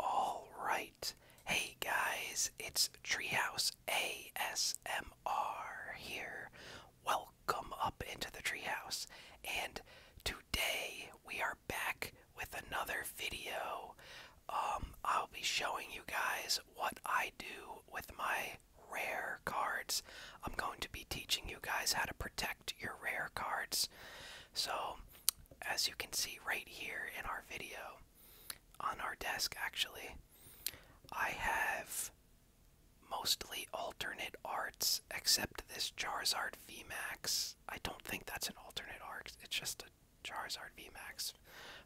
All right. Hey guys, it's Treehouse ASMR here. Welcome up into the treehouse. And today we are back with another video. Um, I'll be showing you guys what I do with my rare cards. I'm going to be teaching you guys how to protect your rare cards. So, as you can see right here in our video on our desk actually I have mostly alternate arts except this Charizard VMAX. I don't think that's an alternate art, it's just a Charizard VMAX.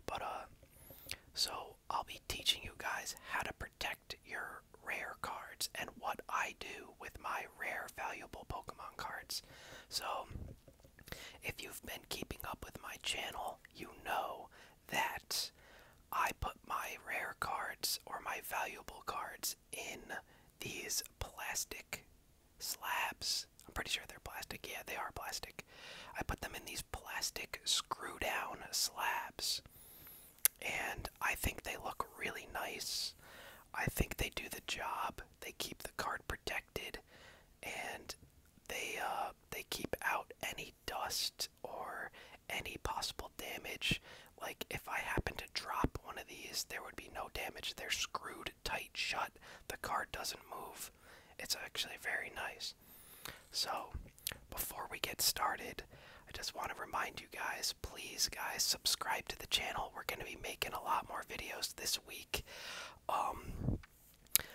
But uh so I'll be teaching you guys how to protect your rare cards and what I do with my rare valuable Pokemon cards. So, if you've been keeping up with my channel, you know that I put my rare cards or my valuable cards in these plastic slabs. I'm pretty sure they're plastic. Yeah, they are plastic. I put them in these plastic screw down slabs. And I think they look really nice. I think they do the job they keep the card protected, and they uh, they keep out any dust or any possible damage. Like if I happen to drop one of these, there would be no damage. They're screwed tight shut. The card doesn't move. It's actually very nice. So, before we get started, I just want to remind you guys please guys subscribe to the channel we're gonna be making a lot more videos this week um,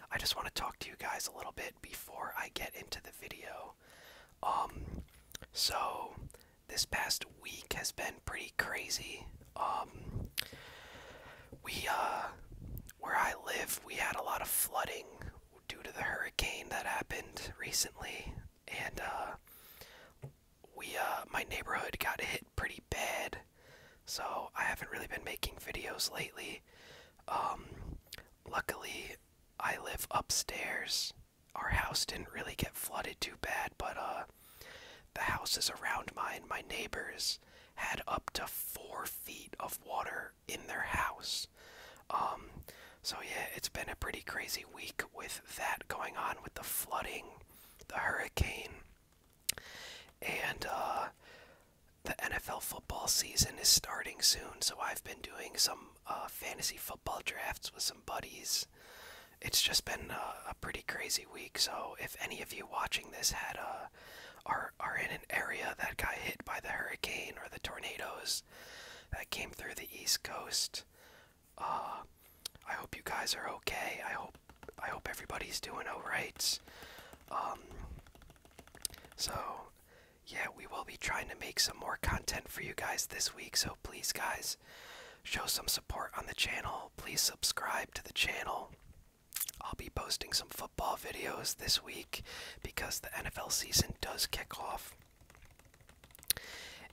I just want to talk to you guys a little bit before I get into the video um, so this past week has been pretty crazy um, we uh, where I live we had a lot of flooding due to the hurricane that happened recently and uh, we uh my neighborhood got hit pretty bad. So I haven't really been making videos lately. Um luckily I live upstairs. Our house didn't really get flooded too bad, but uh the houses around mine, my neighbors, had up to four feet of water in their house. Um, so yeah, it's been a pretty crazy week with that going on with the flooding the hurricane, and uh, the NFL football season is starting soon. So I've been doing some uh, fantasy football drafts with some buddies. It's just been uh, a pretty crazy week. So if any of you watching this had uh, are are in an area that got hit by the hurricane or the tornadoes that came through the East Coast. Uh, I hope you guys are okay. I hope I hope everybody's doing alright. Um, so yeah, we will be trying to make some more content for you guys this week. So please, guys, show some support on the channel. Please subscribe to the channel. I'll be posting some football videos this week because the NFL season does kick off.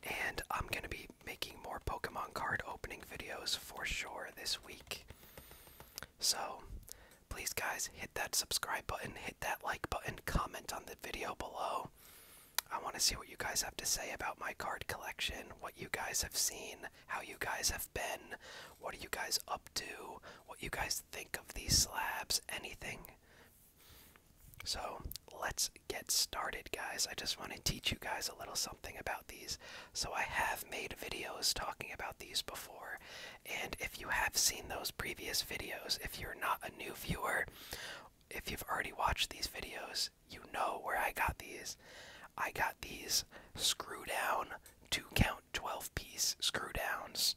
And I'm going to be making more Pokemon card opening videos for sure this week. So, please, guys, hit that subscribe button, hit that like button, comment on the video below. I want to see what you guys have to say about my card collection, what you guys have seen, how you guys have been, what are you guys up to, what you guys think of these slabs, anything. So, let's get started, guys. I just want to teach you guys a little something about these, so I have made videos talking about these before. And if you have seen those previous videos, if you're not a new viewer, if you've already watched these videos, you know where I got these. I got these screw down, two count 12 piece screw downs.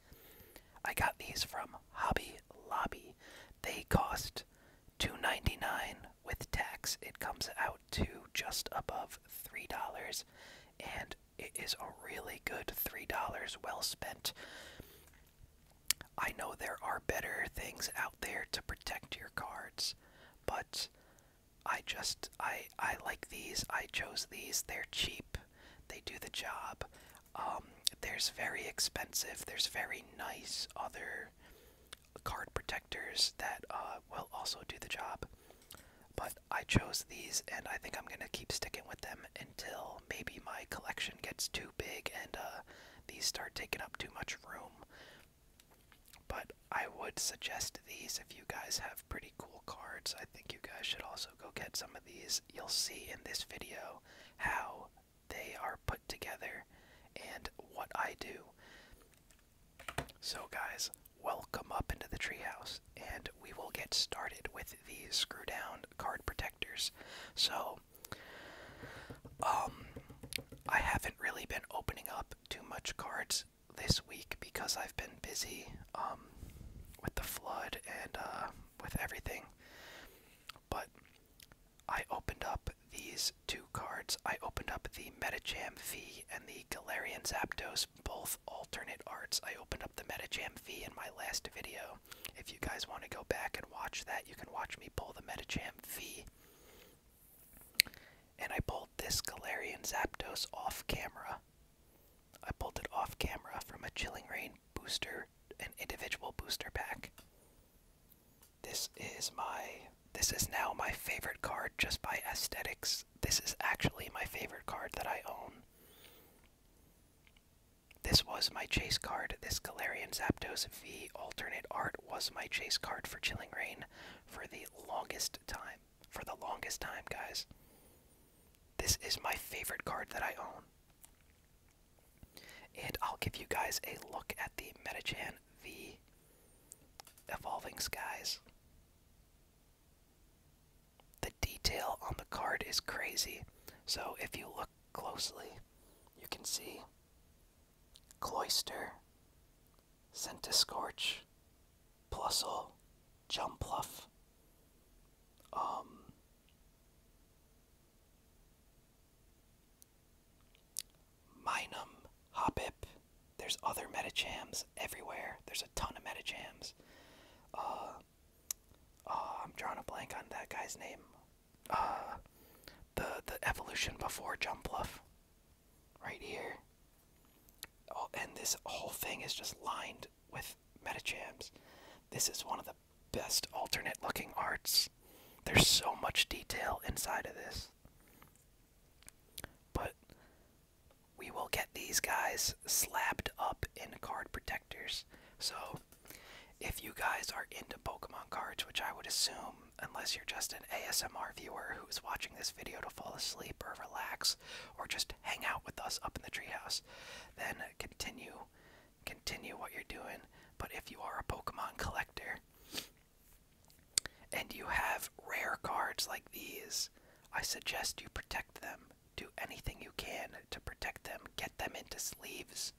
I got these from Hobby Lobby. They cost $2.99 with tax. It comes out to just above $3 and it is a really good $3 well spent. I know there are better things out there to protect your cards, but I just I I like these. I chose these. They're cheap. They do the job. Um, there's very expensive, there's very nice other card protectors that uh, will also do the job. But I chose these, and I think I'm gonna keep sticking with them until maybe my collection gets too big and uh, these start taking up too much room. But I would suggest these if you guys have pretty cool cards. I think you guys should also go get some of these. You'll see in this video how they are put together and what I do. So, guys, welcome up into the treehouse, and we will get started with these screw down card protectors. So, um, I haven't really been opening up too much cards this week because I've been busy um, with the flood and uh, with everything. But I opened up these two cards. I opened up the Metacham V and the Galarian Zapdos, both alternate arts. I opened up the Metacham V in my last video. If you guys want to go back and watch that, you can watch me pull the Metacham V. And I pulled this Galarian Zapdos off camera. I pulled it off camera from a Chilling Rain booster, an individual booster pack. This is my, this is now my favorite card just by aesthetics. This is actually my favorite card that I own. This was my chase card. This Galarian Zapdos V alternate art was my chase card for Chilling Rain for the longest time. For the longest time, guys. This is my favorite card that I own. And I'll give you guys a look at the Metachan V Evolving Skies. The detail on the card is crazy. So if you look closely, you can see Cloister, Scorch, Plusle, Jumpluff, um, Minum, Hoppip. There's other Metachams everywhere. There's a ton of Metachams. Uh, uh, I'm drawing a blank on that guy's name. Uh, the the evolution before Jump Bluff, right here. Oh, and this whole thing is just lined with of Metachams. This is one of the best alternate looking arts. There's so much detail inside of this. But we will get these guys slapped up in card protectors. So if you guys are into Pokemon cards, which I would assume, unless you're just an ASMR viewer who's watching this video to fall asleep or relax or just hang out with us up in the treehouse, then continue Continue what you're doing, but if you are a Pokemon collector and you have rare cards like these, I suggest you protect them. Do anything you can to protect them. Get them into sleeves.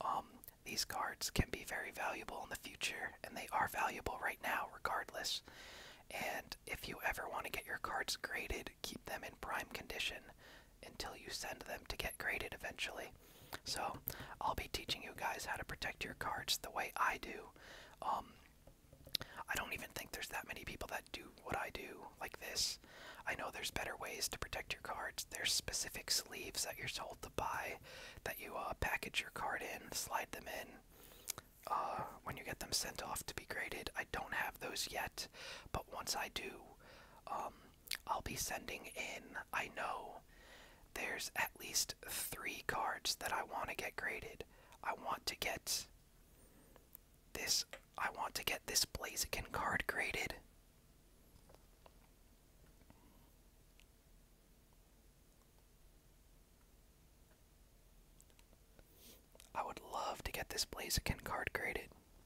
Um, these cards can be very valuable in the future, and they are valuable right now, regardless. And if you ever want to get your cards graded, keep them in prime condition until you send them to get graded eventually. So, I'll be teaching you guys how to protect your cards the way I do. Um, I don't even think there's that many people that do what I do like this. I know there's better ways to protect your cards. There's specific sleeves that you're told to buy that you uh, package your card in, slide them in uh, when you get them sent off to be graded. I don't have those yet, but once I do, um, I'll be sending in, I know there's at least three cards that I want to get graded. I want to get this, I want to get this Blaziken card graded. I would love to get this Blaziken card graded.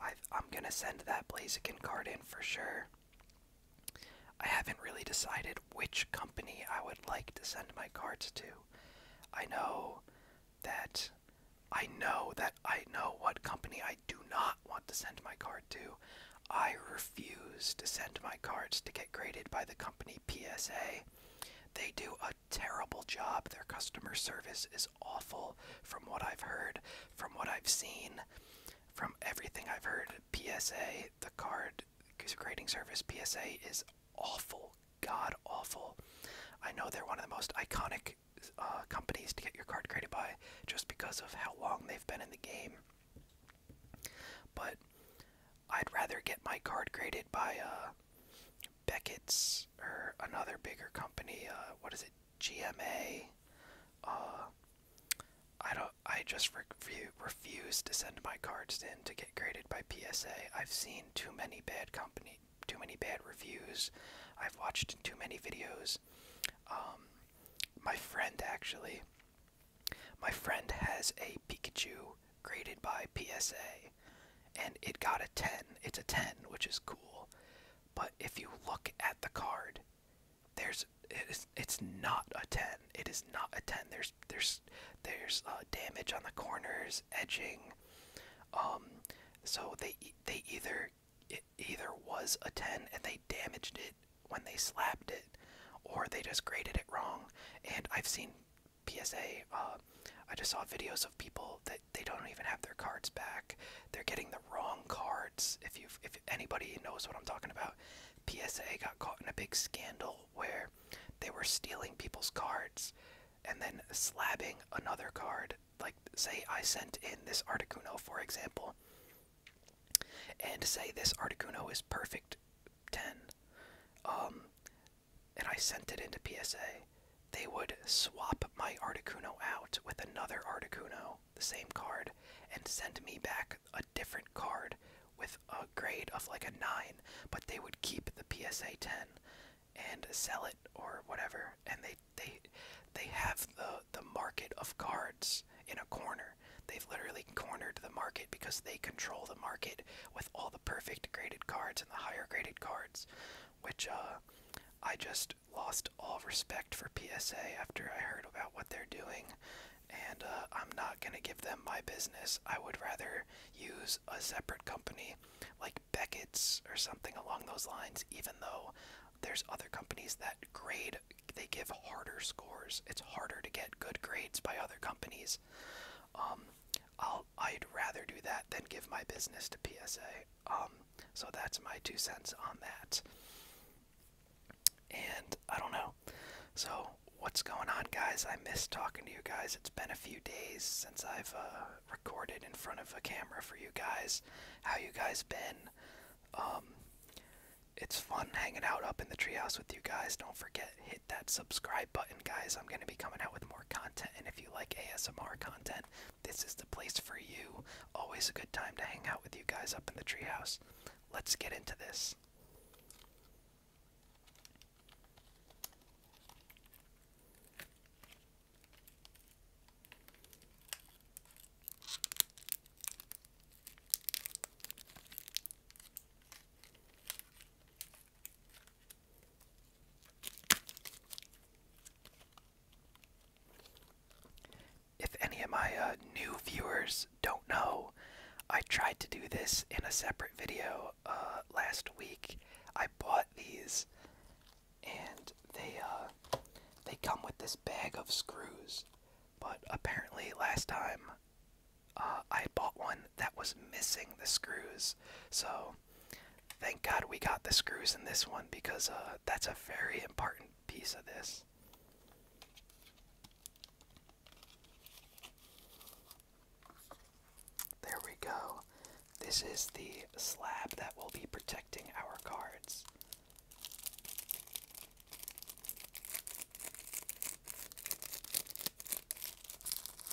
i am gonna send that Blaziken card in for sure. I haven't really decided which company I would like to send my cards to. I know that I know that I know what company I do not want to send my card to. I refuse to send my cards to get graded by the company PSA. They do a terrible job. Their customer service is awful from what I've heard, from what I've seen, from everything I've heard. PSA, the card grading service, PSA is awful, god awful. I know they're one of the most iconic uh, companies to get your card graded by just because of how long they've been in the game. But I'd rather get my card graded by uh, Beckett's or another bigger company. Uh, what is it? GMA. Uh, I don't. I just refuse to send my cards in to get graded by PSA. I've seen too many bad company, too many bad reviews. I've watched too many videos. Um, my friend actually, my friend has a Pikachu graded by PSA, and it got a 10. It's a 10, which is cool. But if you look at the card, there's it is, it's not a 10. It is not a 10. There's there's there's uh, damage on the corners, edging. Um, so they they either it either was a 10 and they damaged it when they slapped it, or they just graded it wrong. And I've seen PSA, uh, I just saw videos of people that they don't even have their cards back. They're getting the wrong cards. If you, if anybody knows what I'm talking about, PSA got caught in a big scandal where they were stealing people's cards and then slabbing another card. Like, say I sent in this Articuno, for example, and say this Articuno is perfect ten. Um, and I sent it into PSA, they would swap my Articuno out with another Articuno, the same card, and send me back a different card with a grade of like a 9, but they would keep the PSA 10 and sell it or whatever and they they they have the the market of cards in a corner. They've literally cornered the market because they control the market with all the perfect graded cards and the higher graded cards, which uh, I just lost all respect for PSA after I heard about what they're doing. And uh, I'm not going to give them my business. I would rather use a separate company like Beckett's or something along those lines, even though there's other companies that grade, they give harder scores. It's harder to get good grades by other companies. Um, i would rather do that than give my business to PSA. Um, so that's my two cents on that. And I don't know. So what's going on, guys? I miss talking to you guys. It's been a few days since I've uh, recorded in front of a camera for you guys. How you guys been? Um, it's fun hanging out up in the treehouse with you guys. Don't forget hit that subscribe button, guys. I'm gonna be coming out with more content. And if you like ASMR content, this is the place for you. Always a good time to hang out with you guys up in the treehouse. Let's get into this. If any of my uh, new viewers don't know, I tried to do this in a separate video uh, last week. I bought these, and they uh, they come with this bag of screws. But apparently, last time I bought one that was missing the screws, so thank God we got the screws in this one because uh, that's a very important piece of this. There we go. This is the slab that will be protecting our cards.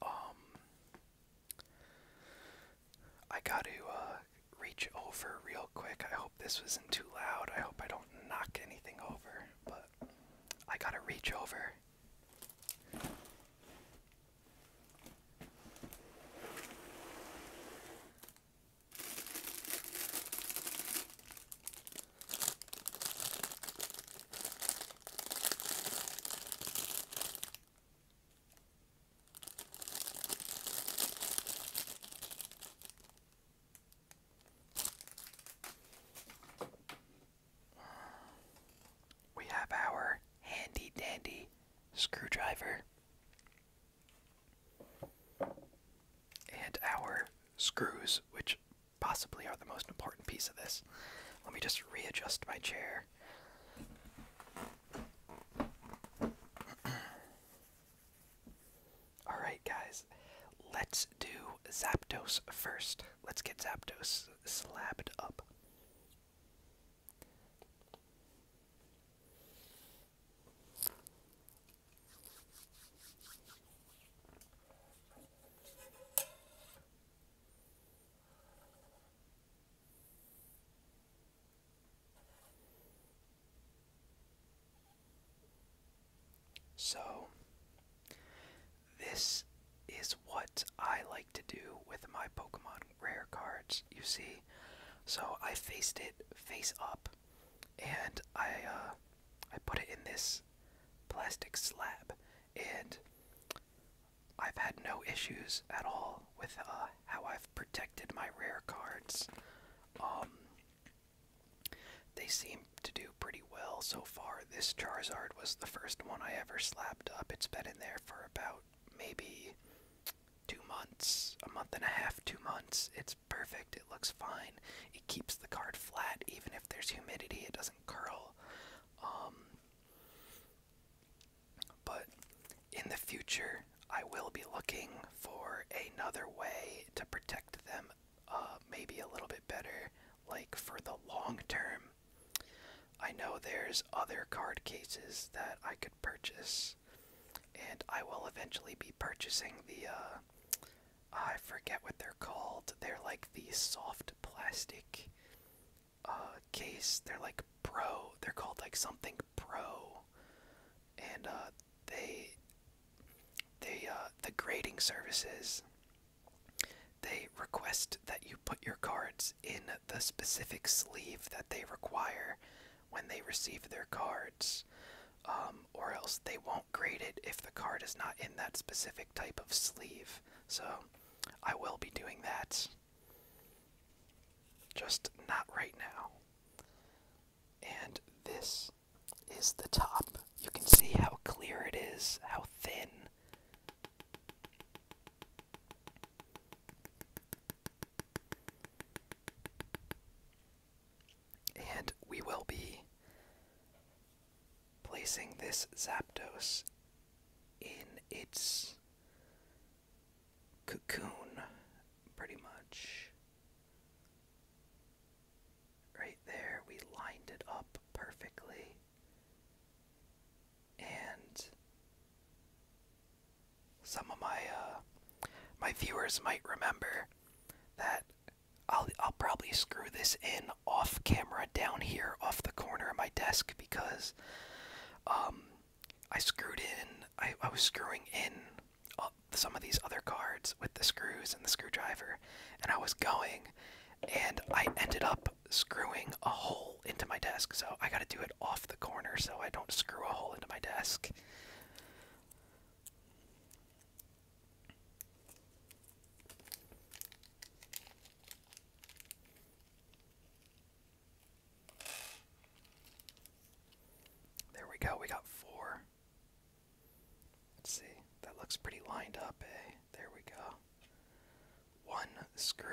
Um, I got to uh, reach over real quick. I hope this wasn't too loud. I hope I don't knock anything over, but I got to reach over. We have our handy dandy screwdriver and our screws, which possibly are the most important piece of this. Let me just readjust my chair. Alright, guys, let's do Zapdos first. Let's get Zapdos slapped up. So, this is what I like to do with my Pokemon rare cards you see. So I faced it face up, and I uh, I put it in this plastic slab, and I've had no issues at all with uh, how I've protected my rare cards. Um, they seem to do pretty well so far. This Charizard was the first one I ever slapped up. It's been in there for about maybe two months, a month and a half, two months. It's perfect. It looks fine. It keeps the card flat, even if there's humidity. It doesn't curl. Um, but in the future, I will be looking for another way to protect them, uh, maybe a little bit better, like for the long term. I know there's other card cases that I could purchase and I will eventually be purchasing the uh, I forget what they're called. They're like the soft plastic uh, case. They're like Pro. They're called like something Pro, and uh, they they uh, the grading services. They request that you put your cards in the specific sleeve that they require when they receive their cards, um, or else they won't grade it if the card is not in that specific type of sleeve. So I will be doing that. Just not right now. And this is the top. You can see how clear it is, how thin. And we will be placing this Zaptos in its cocoon, pretty much. Right there, we lined it up perfectly. And some of my uh, my viewers might remember that I'll I'll probably screw this in off camera down here off the corner of my desk because um I screwed in I, I was screwing in uh, some of these other cards with the screws and the screwdriver and I was going and I ended up screwing a hole into my desk so I got to do it off the corner so I don't screw a hole into my desk there we go, we got four. Let's see, that looks pretty lined up, eh? There we go. One screw.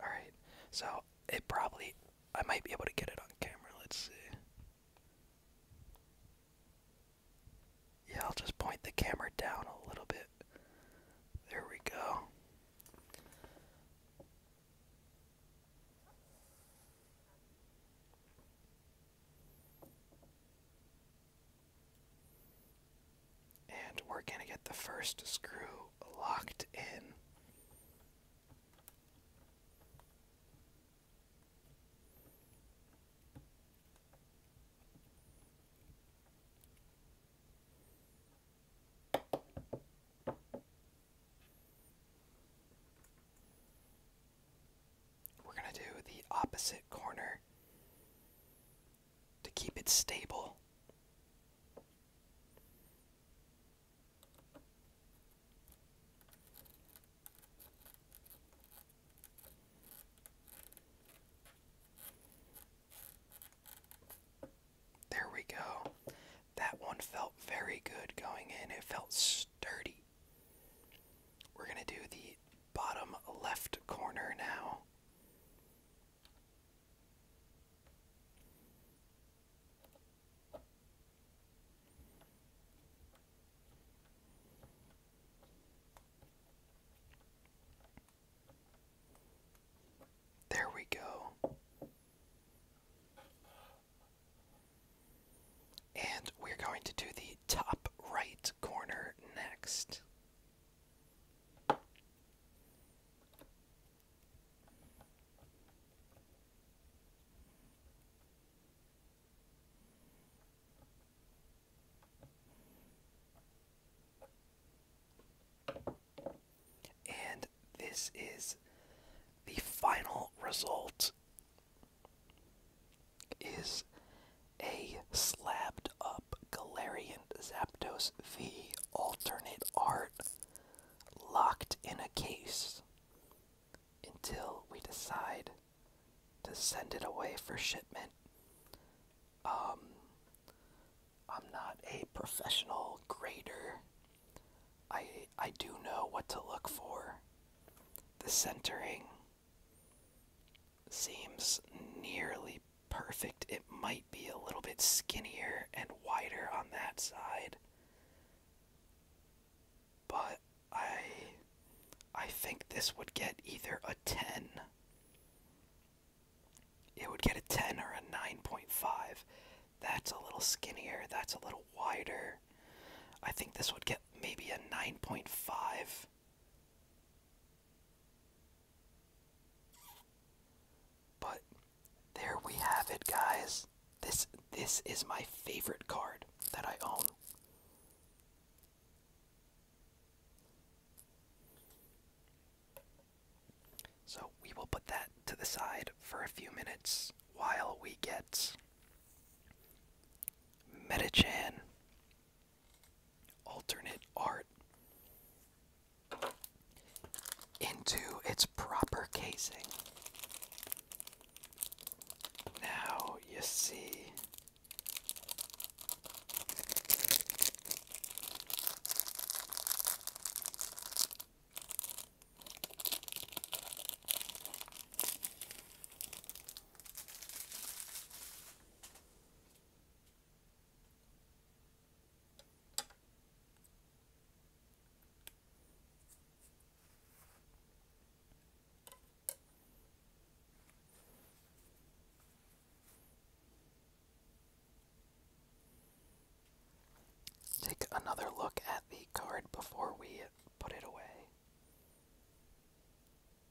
Alright, so it probably, I might be able to get it on camera. Let's see. Yeah, I'll just point the camera down a little bit. There we go. And we're going to get the first screw locked in. We're going to do the opposite corner to keep it stable. There we go. That one felt very good going in. It felt sturdy. We're going to do the bottom left corner now. There we go. And we're going to do the top right corner next. And this is the final result is a slabbed up Galarian Zaptos V alternate art locked in a case until we decide to send it away for shipment. Um, I'm not a professional grader. I I do know what to look for. The centering Seems nearly perfect. It might be a little bit skinnier and wider on that side. But I I think this would get either a 10. It would get a 10 or a 9.5. That's a little skinnier, that's a little wider. I think this would get maybe a 9.5 but there we have it guys. This this is my favorite card that I own. So we will put that to the side for a few minutes while we get Metachan alternate art into its proper casing. Now you see Take another look at the card before we put it away.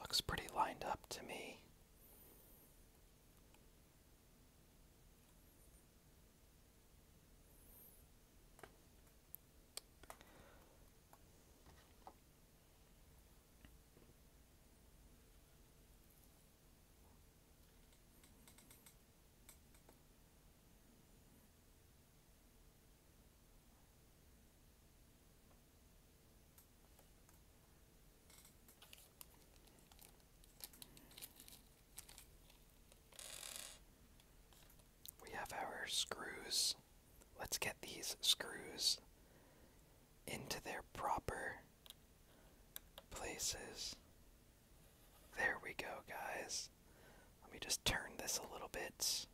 Looks pretty lined up to me. We have our screws. Let's get these screws into their proper places. There we go, guys. Let me just turn this a little bit.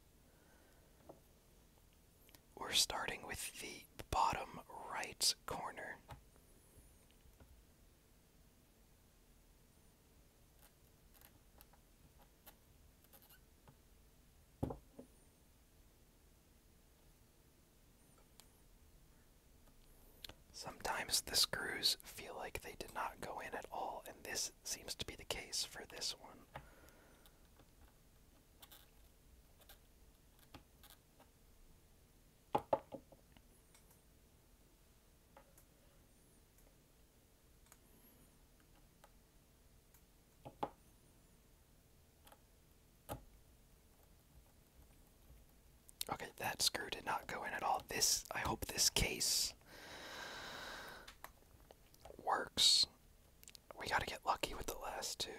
We're starting with the bottom right corner. Sometimes the screws feel like they did not go in at all, and this seems to be the case for this one. Okay, that screw did not go in at all. This, I hope this case works we gotta get lucky with the last two.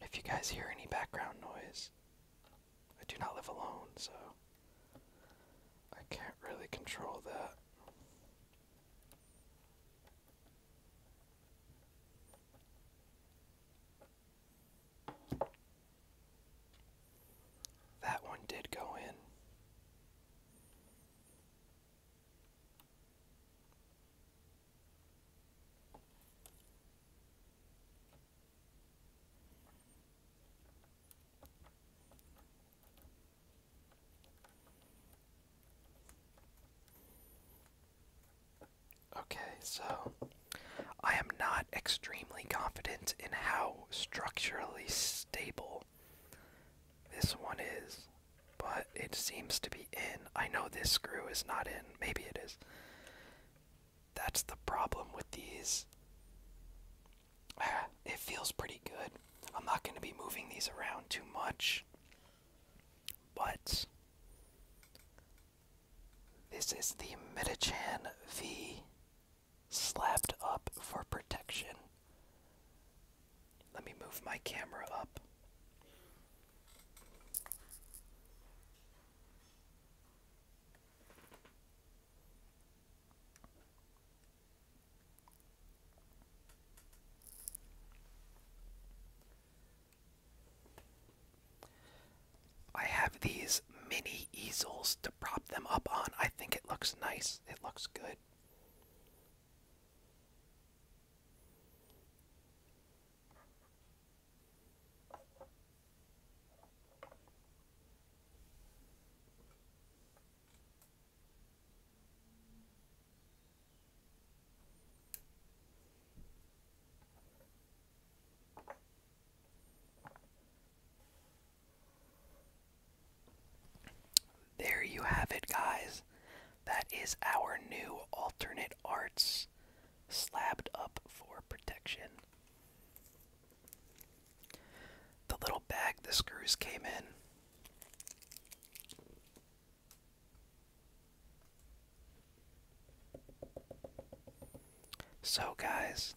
If you guys hear any background noise, I do not live alone, so I can't really control that. That one did go in. Okay, so I am not extremely confident in how structurally stable this one is, but it seems to be in. I know this screw is not in. Maybe it is. That's the problem with these. It feels pretty good, I'm not going to be moving these around too much, but this is the Metachan V slapped up for protection. Let me move my camera up. I have these mini easels to prop them up on. I think it looks nice. It looks good. There you have it, guys. That is our new alternate arts slabbed up for protection. The little bag the screws came in so, guys,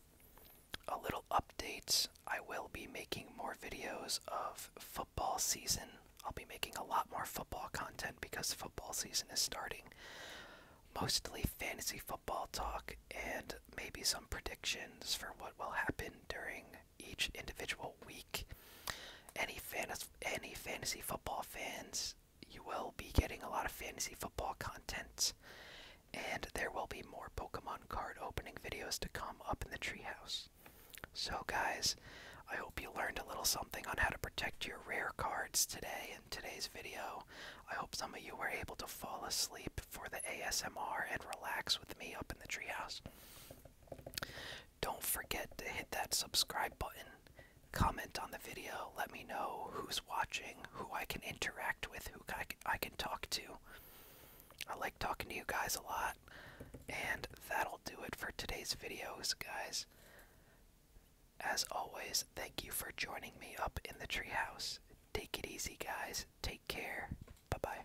a little update. I will be making more videos of football season. I'll be making a lot more football content because football season is starting. Mostly fantasy football talk and maybe some predictions for what will happen during each individual week. Any fantasy, any fantasy football fans, you will be getting a lot of fantasy football contents, and there will be more Pokemon card opening videos to come up in the treehouse. So, guys, I hope you learned a little something on how to protect your rare cards today in today's video. I hope some of you were able to fall asleep for the ASMR and relax with me up in the treehouse. Don't forget to hit that subscribe button. Comment on the video. Let me know who's watching, who I can interact with, who I can, I can talk to. I like talking to you guys a lot. And that'll do it for today's videos, guys. As always, thank you for joining me up in the treehouse. Take it easy, guys. Take care. Bye bye.